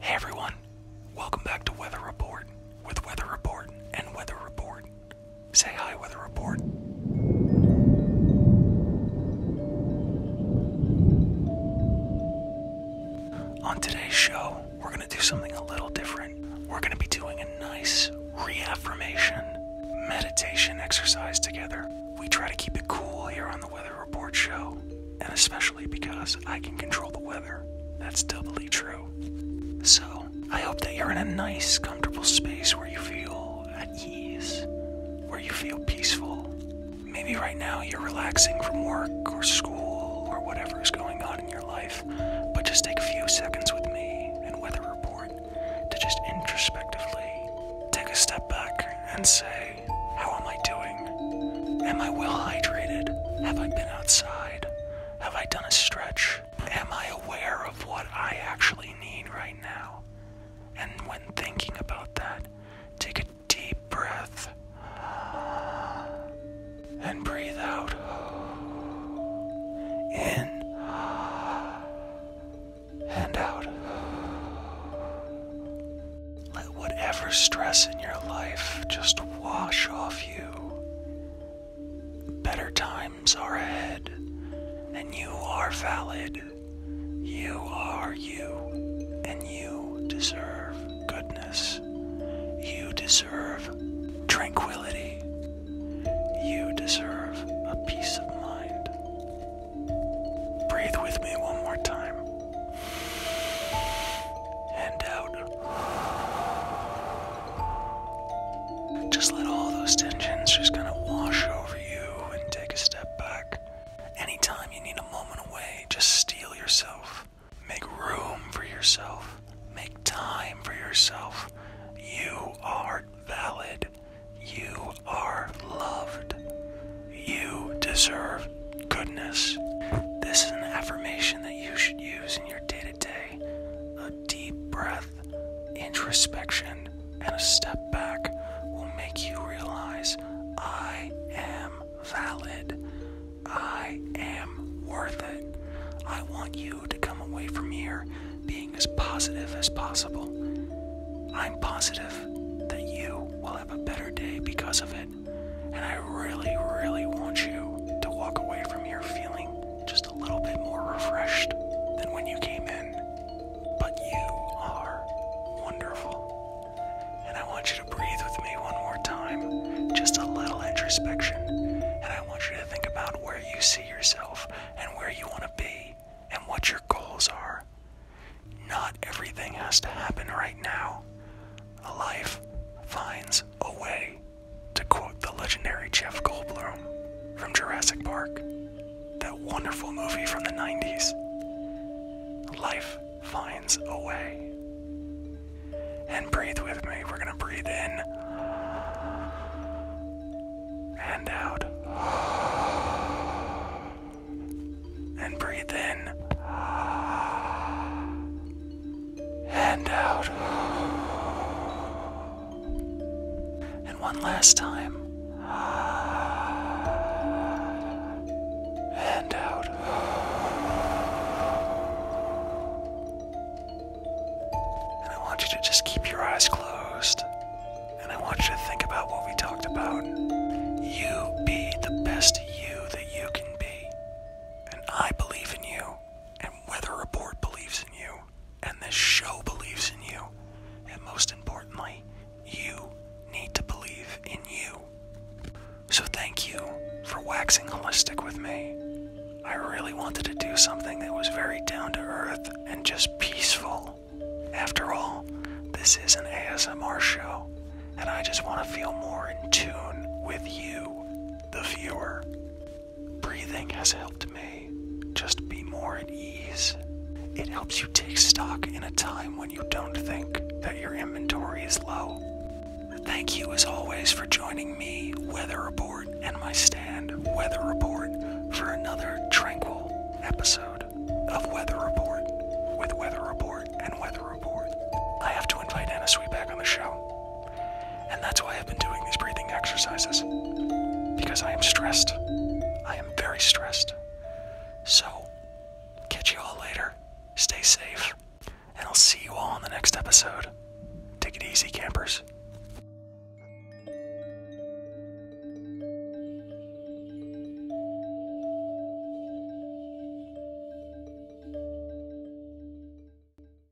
Hey everyone, welcome back to Weather Report with Weather Report and Weather Report. Say hi, Weather Report. On today's show, we're going to do something a little different. We're going to be doing a nice reaffirmation meditation exercise together. We try to keep it cool here on the Weather Report show, and a special because I can control the weather. That's doubly true. So, I hope that you're in a nice, comfortable space where you feel at ease, where you feel peaceful. Maybe right now you're relaxing from work or school or whatever is going on in your life, but just take a few seconds with me and Weather Report to just introspectively take a step back and say, how am I doing? Am I well hydrated? Have I been outside? Have I done a stretch? Am I aware of what I actually need right now? And when thinking about that, take a deep breath and breathe out. In and out. Let whatever stress in your life just wash off you. Better times are ahead, and you are valid. You are you, and you deserve goodness. You deserve tranquility. You deserve a peace of mind. Breathe with me one more time. And Just let all those tensions just kind of wash over you and take a step back. Anytime you need a moment away, just steal yourself. Make room for yourself. Make time for yourself. You are valid. You are loved. You deserve goodness. This is an affirmation that you should use in your day to day. A deep breath, introspection, and a step back will make you realize I am valid. I am worth it. I want you to come away from here being as positive as possible. I'm positive that you will have a better day because of it. And I really, really want you to walk away from here feeling just a little bit more refreshed than when you came in. But you are wonderful. And I want you to breathe with me one more time, just a little introspection, and I want you to think about where you see yourself and where you want to be and what your goals are. Not everything has to happen right now. A life finds a way, to quote the legendary Jeff Goldblum from Jurassic Park, that wonderful movie from the 90s. Life finds a way. And breathe with me. We're going to breathe in and out. And breathe in and out. And one last time and out. And I want you to just keep your eyes closed. And I want you to think about what we talked about. You be the best you that you can be. And I believe in you. And Weather Report believes in you. And this show believes in you. And most importantly, you need to believe in you. So, thank you for waxing holistic with me. I really wanted to do something that was very down to earth and just peaceful. After all, this is an ASMR show, and I just want to feel more in tune with you, the viewer. Breathing has helped me just be more at ease. It helps you take stock in a time when you don't think that your inventory is low. Thank you as always for joining me, Weather Report, and my stand, Weather Report, for another tranquil episode of Weather Report with Weather Report and Weather Report. I have to invite Anna Sweet back on the show. And that's why I've been doing these breathing exercises. Because I am stressed. I am very stressed. So, catch you all later. Stay safe. And I'll see you all in the next episode. Take it easy, campers.